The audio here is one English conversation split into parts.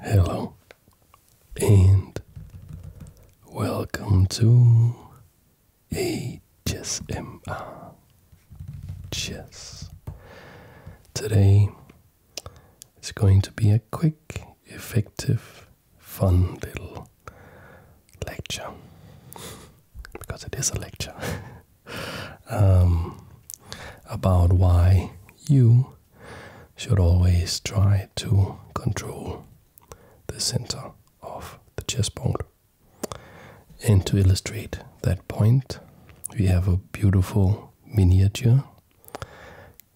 Hello and welcome to HSMR Chess. Today it's going to be a quick, effective, fun little lecture because it is a lecture um, about why you should always try to control the center of the chessboard. And to illustrate that point, we have a beautiful miniature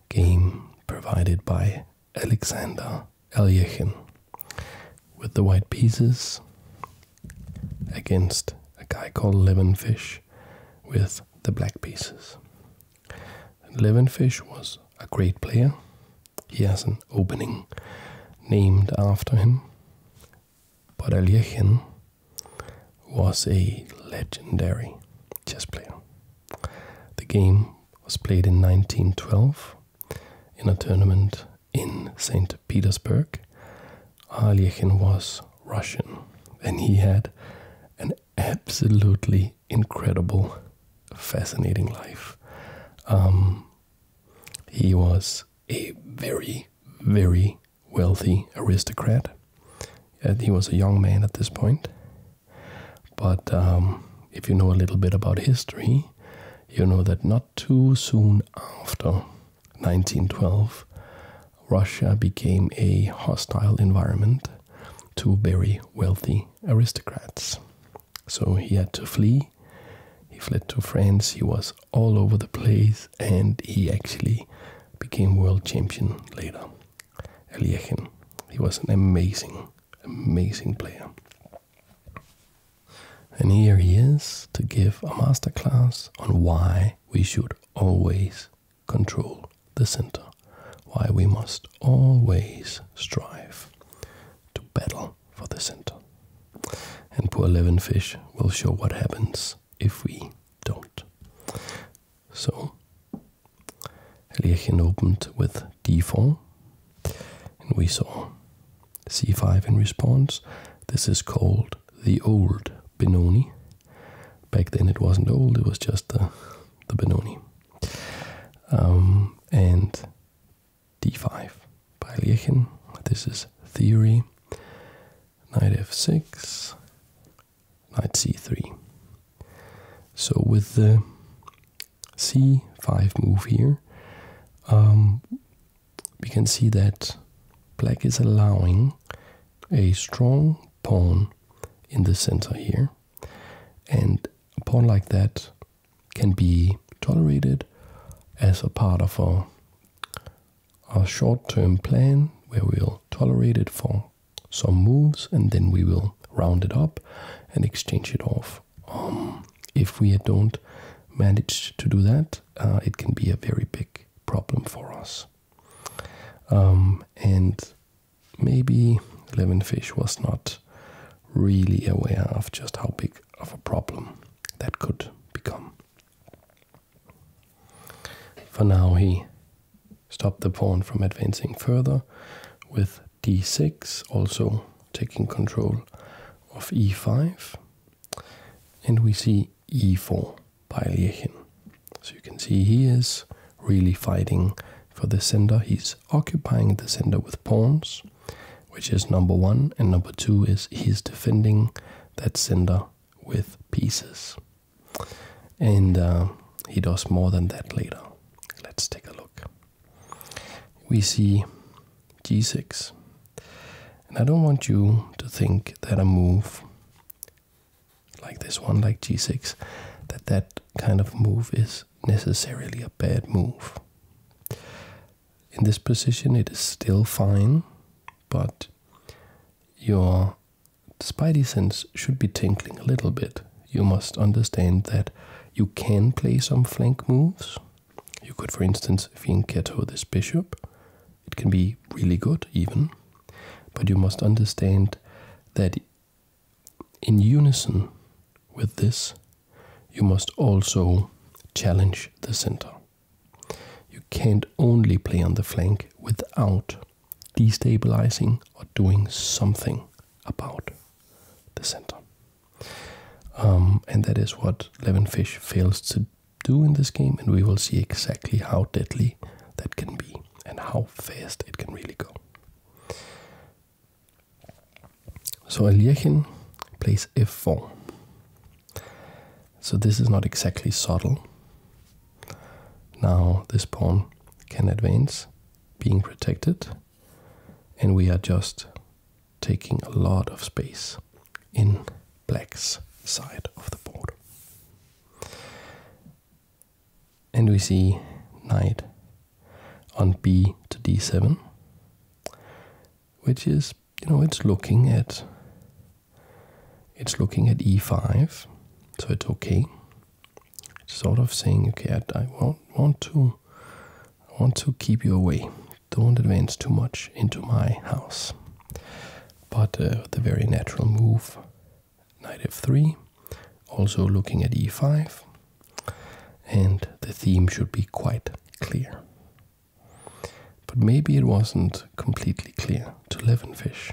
game provided by Alexander Alyekhin with the white pieces against a guy called Levinfish with the black pieces. Levin Fish was a great player. He has an opening named after him. But Aljechin was a legendary chess player. The game was played in 1912 in a tournament in St. Petersburg. Aljechin was Russian. And he had an absolutely incredible, fascinating life. Um, he was a very, very wealthy aristocrat. And he was a young man at this point. But um, if you know a little bit about history, you know that not too soon after 1912, Russia became a hostile environment to very wealthy aristocrats. So he had to flee. He fled to France. He was all over the place and he actually became world champion later. Eliegen. He was an amazing, amazing player. And here he is to give a masterclass on why we should always control the center. Why we must always strive to battle for the center. And poor Levinfish will show what happens if we don't. So, Lirchen opened with d4, and we saw c5 in response. This is called the old Benoni Back then it wasn't old, it was just the, Benoni. Um, and d5 by Liechen. This is theory. Knight f6, knight c3. So with the c5 move here, um, we can see that black is allowing a strong pawn in the center here. And a pawn like that can be tolerated as a part of a short-term plan where we'll tolerate it for some moves and then we will round it up and exchange it off. Um, if we don't manage to do that, uh, it can be a very big problem for us. Um, and maybe Levinfish was not really aware of just how big of a problem that could become. For now, he stopped the pawn from advancing further with d6, also taking control of e5. And we see e4 by Liechen. So you can see he is really fighting for the center. He's occupying the center with pawns, which is number one, and number two is he's defending that center with pieces. And uh, he does more than that later. Let's take a look. We see g6. And I don't want you to think that a move like this one, like g6, that that kind of move is necessarily a bad move. In this position, it is still fine, but your spidey sense should be tingling a little bit. You must understand that you can play some flank moves. You could, for instance, fianchetto this bishop it can be really good, even, but you must understand that in unison with this, you must also challenge the center. You can't only play on the flank without destabilizing or doing something about the center. Um, and that is what Levin Fish fails to do in this game, and we will see exactly how deadly that can be and how fast it can really go. So Eliachin plays f4. So this is not exactly subtle. Now this pawn can advance, being protected, and we are just taking a lot of space in black's side of the board. And we see knight on b to d7, which is, you know, it's looking at it's looking at e5, so it's okay. It's sort of saying, okay, I, want want to want to keep you away. Don't advance too much into my house. But uh, the very natural move knight f3, also looking at e5, and the theme should be quite clear. But maybe it wasn't completely clear to Levenfish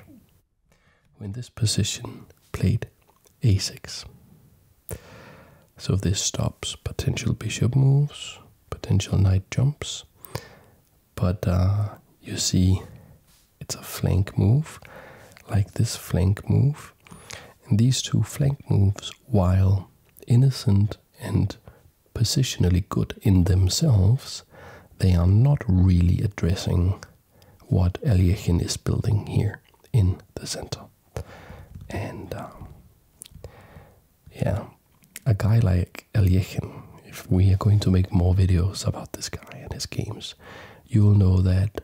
when this position played a6. So this stops potential bishop moves, potential knight jumps, but uh, you see it's a flank move like this flank move and these two flank moves while innocent and positionally good in themselves they are not really addressing what Eliachin is building here in the center and um, yeah a guy like Eliachin if we are going to make more videos about this guy and his games, you will know that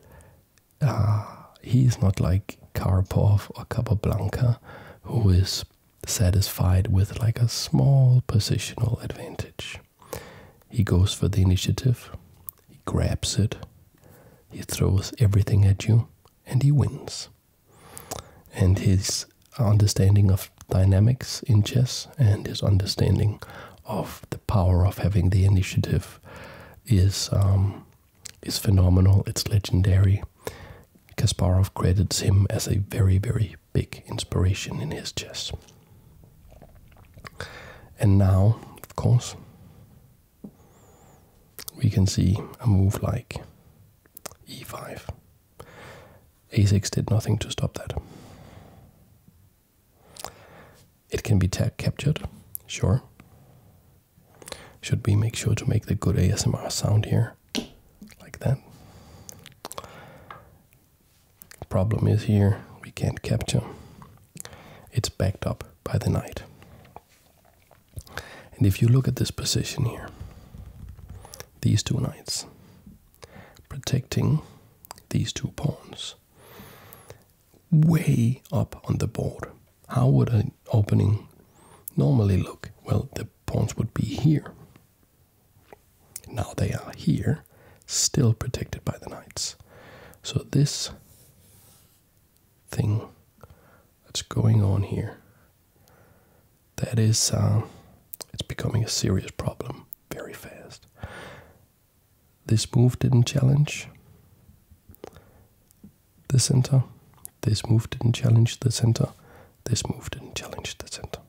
uh, he is not like Karpov or Capablanca, who is satisfied with like a small positional advantage. He goes for the initiative, he grabs it, he throws everything at you, and he wins. And his understanding of dynamics in chess and his understanding of the power of having the initiative is um, is phenomenal. It's legendary. Kasparov credits him as a very very big inspiration in his chess. And now, of course, we can see a move like e5 Asix did nothing to stop that. It can be captured, sure. Should we make sure to make the good ASMR sound here? Like that. Problem is here, we can't capture. It's backed up by the knight. And if you look at this position here, these two knights, protecting these two pawns way up on the board. How would an opening normally look? Well, the pawns would be here. Now they are here, still protected by the knights. So this thing that's going on here that is, uh, it's becoming a serious problem very fast. This move didn't challenge the center. This move didn't challenge the center. This move didn't challenge the center.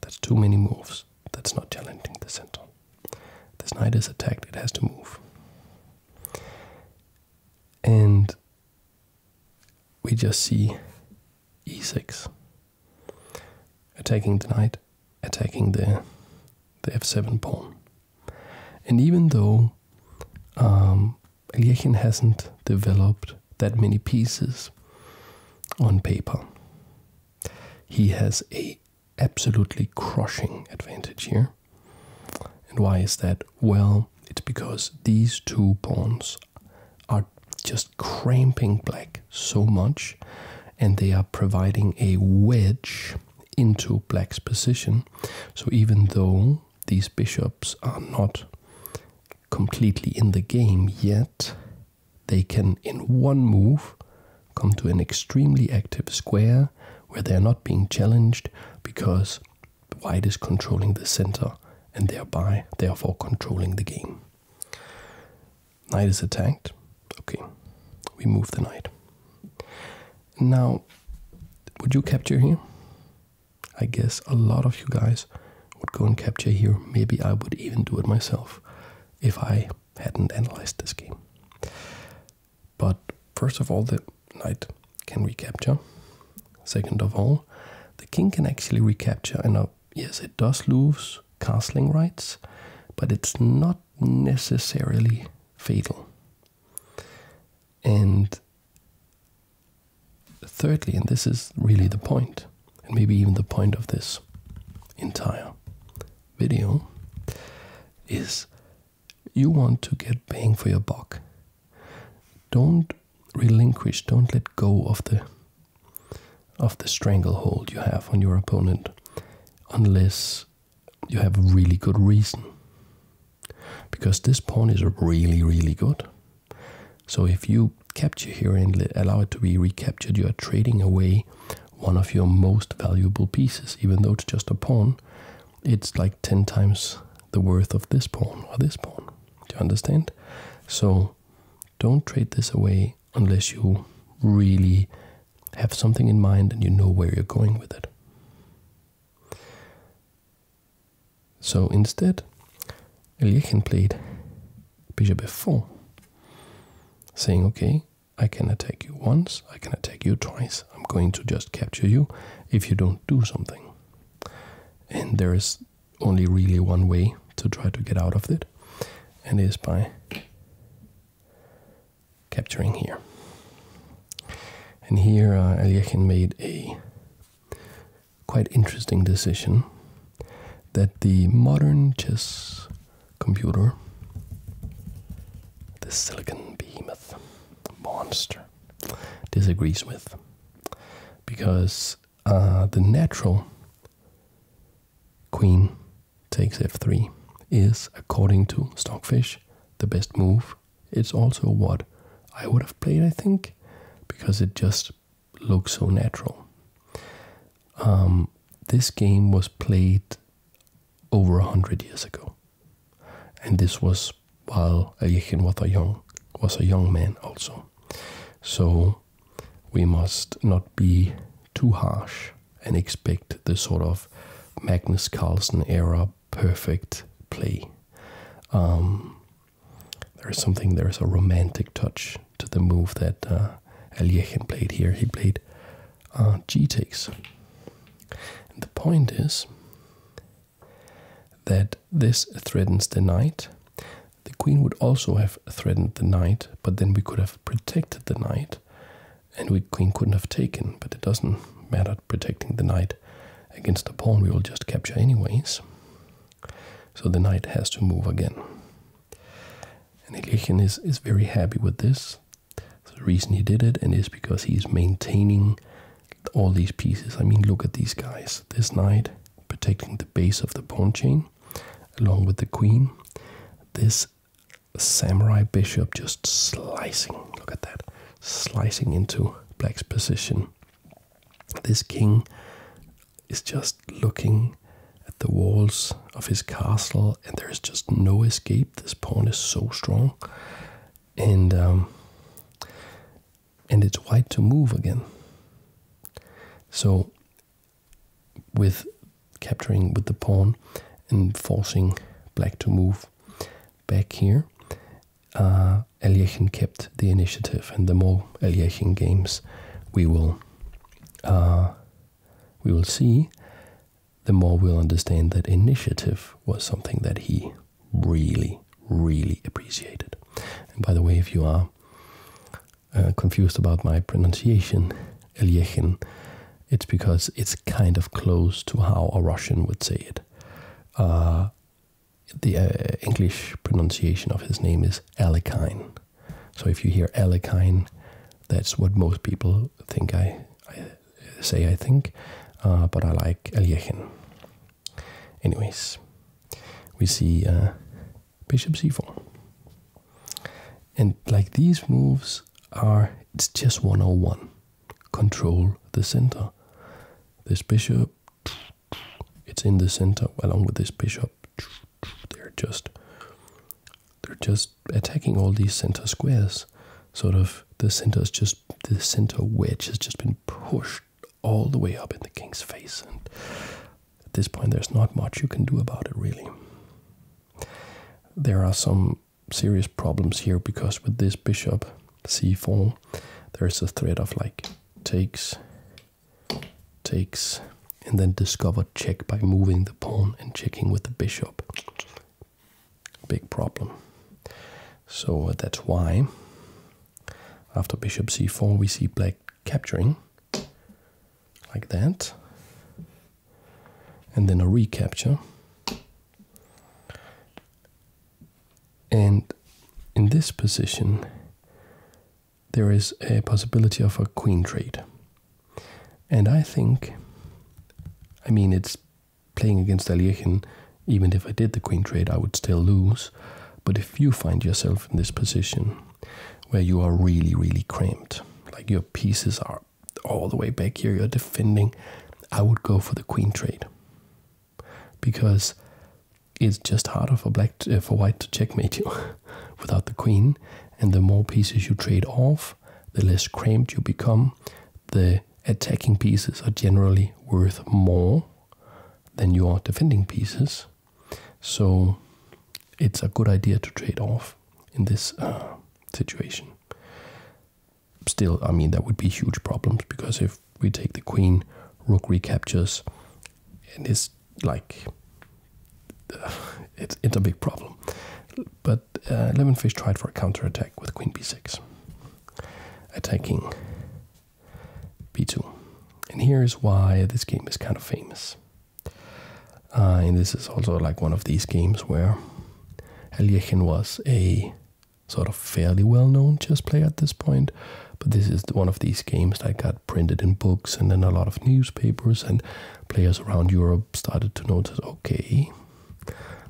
That's too many moves. That's not challenging the center. This knight is attacked, it has to move. And we just see e6. Attacking the knight, attacking the, the f7 pawn. And even though um, hasn't developed that many pieces on paper, he has a absolutely crushing advantage here. And why is that? Well, it's because these two pawns are just cramping black so much, and they are providing a wedge into black's position. So even though these bishops are not completely in the game yet, they can, in one move, come to an extremely active square where they are not being challenged because white is controlling the center and thereby, therefore, controlling the game. Knight is attacked. Okay, we move the knight. Now, would you capture here? I guess a lot of you guys would go and capture here. Maybe I would even do it myself if I hadn't analyzed this game. But first of all, the knight can recapture. Second of all, the king can actually recapture, and I yes, it does lose castling rights, but it's not necessarily fatal. And thirdly, and this is really the point, and maybe even the point of this entire video, is you want to get bang for your buck. Don't relinquish, don't let go of the of the stranglehold you have on your opponent unless you have a really good reason. Because this pawn is really, really good. So if you capture here and allow it to be recaptured, you are trading away one of your most valuable pieces. Even though it's just a pawn, it's like 10 times the worth of this pawn or this pawn. Do you understand? So don't trade this away unless you really have something in mind and you know where you're going with it. So instead, Eliakim played bishop f4, saying, okay, I can attack you once, I can attack you twice, I'm going to just capture you if you don't do something. And there is only really one way to try to get out of it, and is by capturing here. And here uh, made a quite interesting decision that the modern chess computer, the silicon behemoth monster, disagrees with because uh, the natural queen takes f3 is, according to Stockfish, the best move. It's also what I would have played, I think, because it just looks so natural. Um, this game was played over 100 years ago. And this was while Ayechen was a young, was a young man also. So we must not be too harsh and expect the sort of Magnus Carlsen era perfect play. Um, there is something, there is a romantic touch to the move that uh, played here. He played uh, takes. And the point is that this threatens the knight. The queen would also have threatened the knight, but then we could have protected the knight, and the queen couldn't have taken. But it doesn't matter protecting the knight against the pawn we will just capture anyways. So the knight has to move again. And Ilyichin is, is very happy with this. the reason he did it and is because he's maintaining all these pieces. I mean, look at these guys. This knight, protecting the base of the pawn chain along with the queen. This samurai bishop just slicing, look at that, slicing into black's position. This king is just looking at the walls of his castle, and there is just no escape. This pawn is so strong, and um, and it's white to move again. So with capturing with the pawn and forcing black to move back here, uh, kept the initiative, and the more Eliachin games we will uh, we will see, the more we'll understand that initiative was something that he really, really appreciated. And by the way, if you are uh, confused about my pronunciation, Elyechin, it's because it's kind of close to how a Russian would say it. Uh, the uh, English pronunciation of his name is Alekine. So if you hear Alekine, that's what most people think I, say I think, but I like Aljechin. Anyways, we see bishop c4. And like these moves are, it's just 101. Control the center. This bishop, it's in the center along with this bishop. They're just, they're just attacking all these center squares. Sort of the center is just, the center wedge has just been pushed all the way up in the king's face, and at this point, there's not much you can do about it, really. There are some serious problems here because with this bishop c4, there is a threat of like takes, takes, and then discovered check by moving the pawn and checking with the bishop. Big problem. So uh, that's why after bishop c4, we see black capturing like that and then a recapture and in this position there is a possibility of a queen trade and I think I mean it's playing against Aliechen even if I did the queen trade I would still lose but if you find yourself in this position where you are really, really cramped. Like your pieces are all the way back here, you're defending. I would go for the queen trade because it's just harder for black for white to checkmate you without the queen. And the more pieces you trade off, the less cramped you become. The attacking pieces are generally worth more than your defending pieces. So it's a good idea to trade off in this uh, situation. Still, I mean, that would be huge problems because if we take the queen, rook recaptures, and it's like it's a big problem. But uh, lemonfish tried for a counterattack with queen b6, attacking b2. And here is why this game is kind of famous. Uh, and this is also like one of these games where Aljechin was a sort of fairly well known chess player at this point. But this is one of these games that got printed in books and then a lot of newspapers, and players around Europe started to notice okay,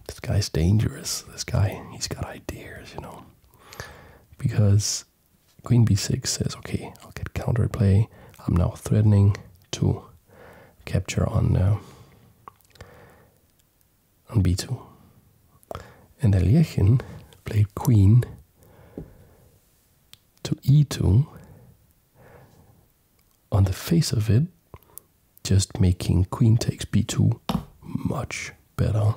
this guy's dangerous. This guy, he's got ideas, you know. Because Queen b6 says, okay, I'll get counterplay. I'm now threatening to capture on uh, on b2. And Alyechin played queen to e2. On the face of it, just making queen takes b2 much better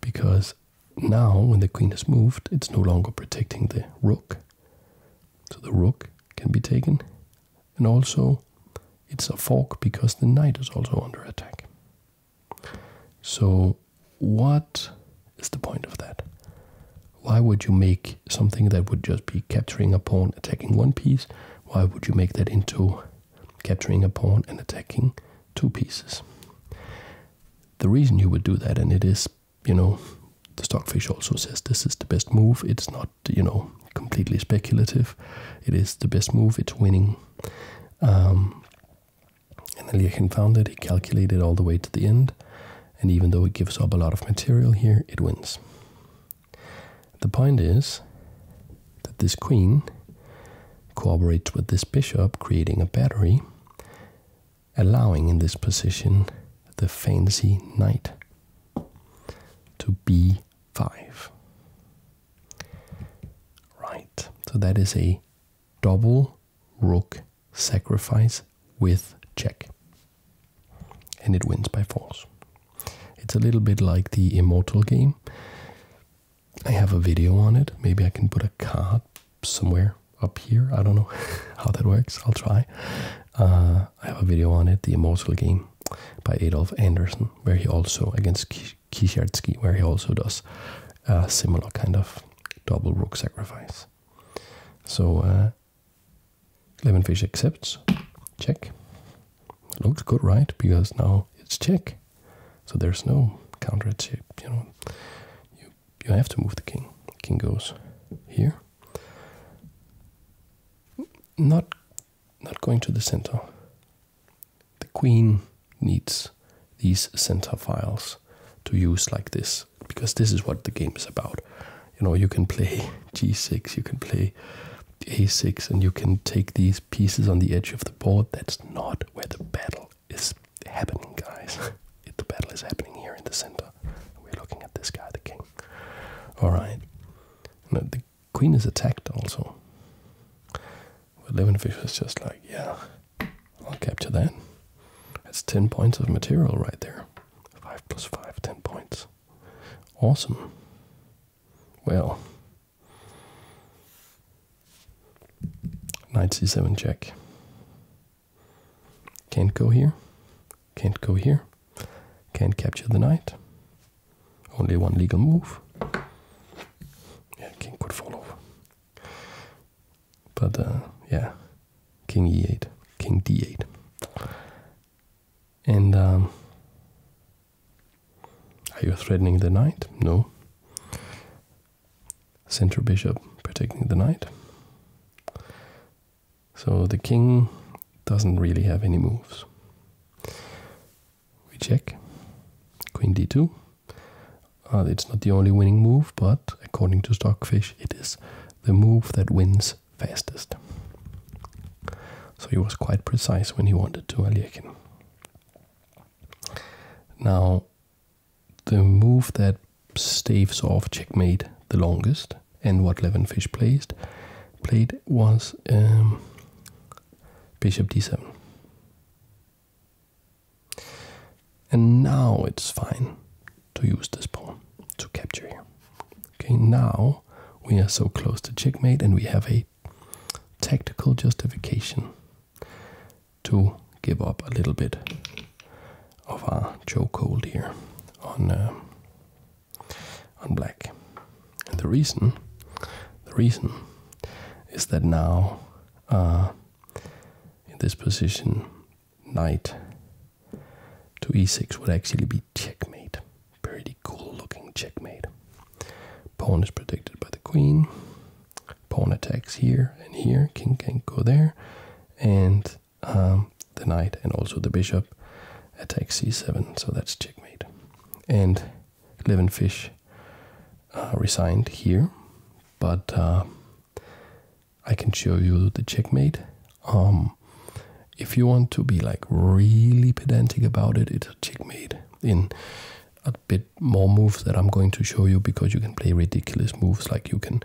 because now, when the queen has moved, it's no longer protecting the rook. So the rook can be taken. And also, it's a fork because the knight is also under attack. So, what is the point of that? Why would you make something that would just be capturing a pawn, attacking one piece? Why would you make that into capturing a pawn and attacking two pieces? the reason you would do that, and it is, you know, the stockfish also says this is the best move. It's not, you know, completely speculative. It is the best move. It's winning. Um, and Eliakim found it. He calculated all the way to the end. And even though it gives up a lot of material here, it wins. The point is that this queen cooperates with this bishop, creating a battery allowing in this position the fancy knight to b5. Right, so that is a double rook sacrifice with check. And it wins by force. It's a little bit like the Immortal game, I have a video on it. Maybe I can put a card somewhere up here. I don't know how that works. I'll try. Uh, I have a video on it, The Immortal Game by Adolf Anderson, where he also, against Kishertsky, where he also does a similar kind of double rook sacrifice. So, uh, Lemonfish accepts. Check. Looks good, right? Because now it's check. So there's no counter chip, you know. You you have to move the king. King goes here. Not not going to the center. The queen needs these center files to use like this because this is what the game is about. You know, you can play g6, you can play a6, and you can take these pieces on the edge of the board. That's not where the battle battle is happening, guys. the battle is happening here in the center. We're looking at this guy, the king. Alright. the queen is attacked also. But Levenfish is just like, yeah, I'll capture that. That's 10 points of material right there. 5 plus 5, 10 points. Awesome. Well, Knight c7 check. Can't go here. Can't go here. Can't capture the knight. Only one legal move. Yeah, king could follow. But uh, yeah, king e8, king d8. And um, are you threatening the knight? No center bishop protecting the knight. So the king doesn't really have any moves. We check. Queen d2. Uh, it's not the only winning move, but according to Stockfish, it is the move that wins fastest. So he was quite precise when he wanted to Aliekin. Now, the move that staves off checkmate the longest and what Levenfish placed played was um, bishop d7. And now it's fine to use this pawn to capture here. Okay, now we are so close to checkmate and we have a tactical justification to give up a little bit of our chokehold here on uh, on black. And the reason, the reason, is that now uh, in this position, knight to e6 would actually be checkmate. Pretty cool looking checkmate. Pawn is protected by the queen pawn attacks here and here. King can go there, and um, the knight and also the bishop attacks c7. So that's checkmate. And Levenfish uh, resigned here, but uh, I can show you the checkmate. Um, if you want to be like really pedantic about it, it's a checkmate in bit more moves that I'm going to show you because you can play ridiculous moves like you can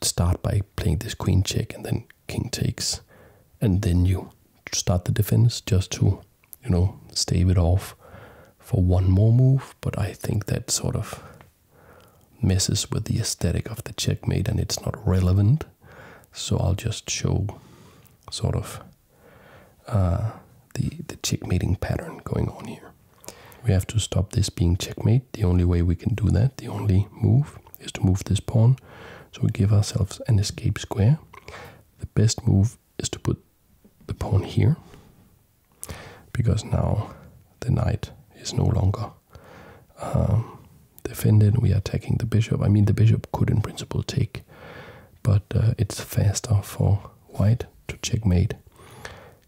start by playing this queen check and then king takes and then you start the defense just to you know stave it off for one more move but I think that sort of messes with the aesthetic of the checkmate and it's not relevant so I'll just show sort of uh, the the checkmating pattern going on here. We have to stop this being checkmate. The only way we can do that, the only move, is to move this pawn. So we give ourselves an escape square. The best move is to put the pawn here, because now the knight is no longer um, defended. We are taking the bishop. I mean, the bishop could in principle take, but uh, it's faster for white to checkmate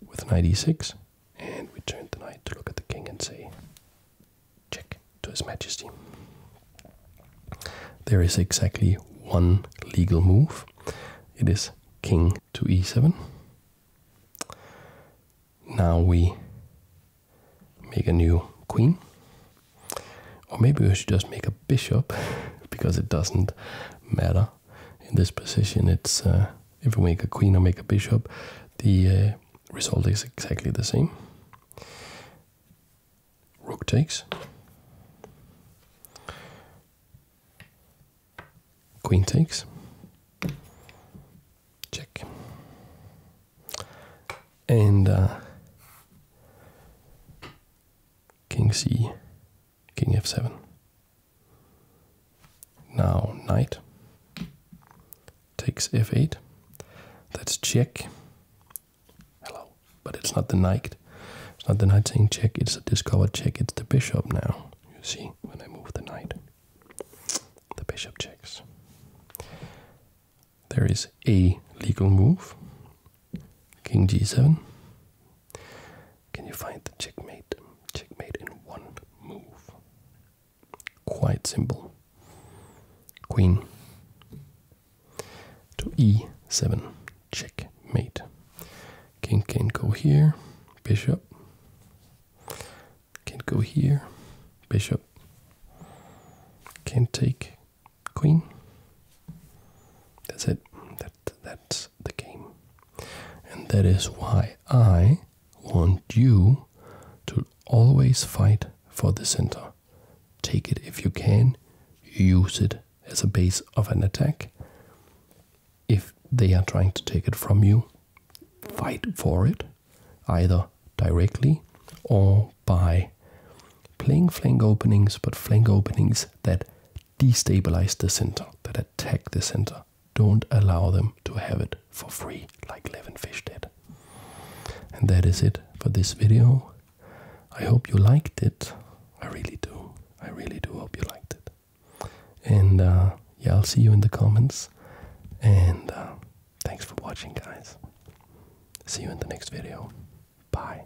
with knight e6, and we turn the knight to look at the king and say, check to his majesty. There is exactly one legal move. It is king to e7. Now we make a new queen. Or maybe we should just make a bishop because it doesn't matter in this position, it's uh, if we make a queen or make a bishop, the uh, result is exactly the same. Rook takes. Queen takes. Check. And uh, King C king f7. Now knight takes f8. That's check. Hello. But it's not the knight. It's not the knight saying check, it's a discovered check. It's the bishop now. You see, when I move the knight, the bishop checks. There is a legal move King g7. Can you find the checkmate? Checkmate in one move. Quite simple. Queen to e7. Checkmate. King can go here. Bishop. Can go here. Bishop. Can take queen. That's it that's the game. And that is why I want you to always fight for the center. Take it if you can, use it as a base of an attack. If they are trying to take it from you, fight for it, either directly or by playing flank openings, but flank openings that destabilize the center, that attack the center. Don't allow them to have it for free like Levin Fish did. And that is it for this video. I hope you liked it. I really do. I really do hope you liked it. And uh, yeah, I'll see you in the comments. And uh, thanks for watching, guys. See you in the next video. Bye.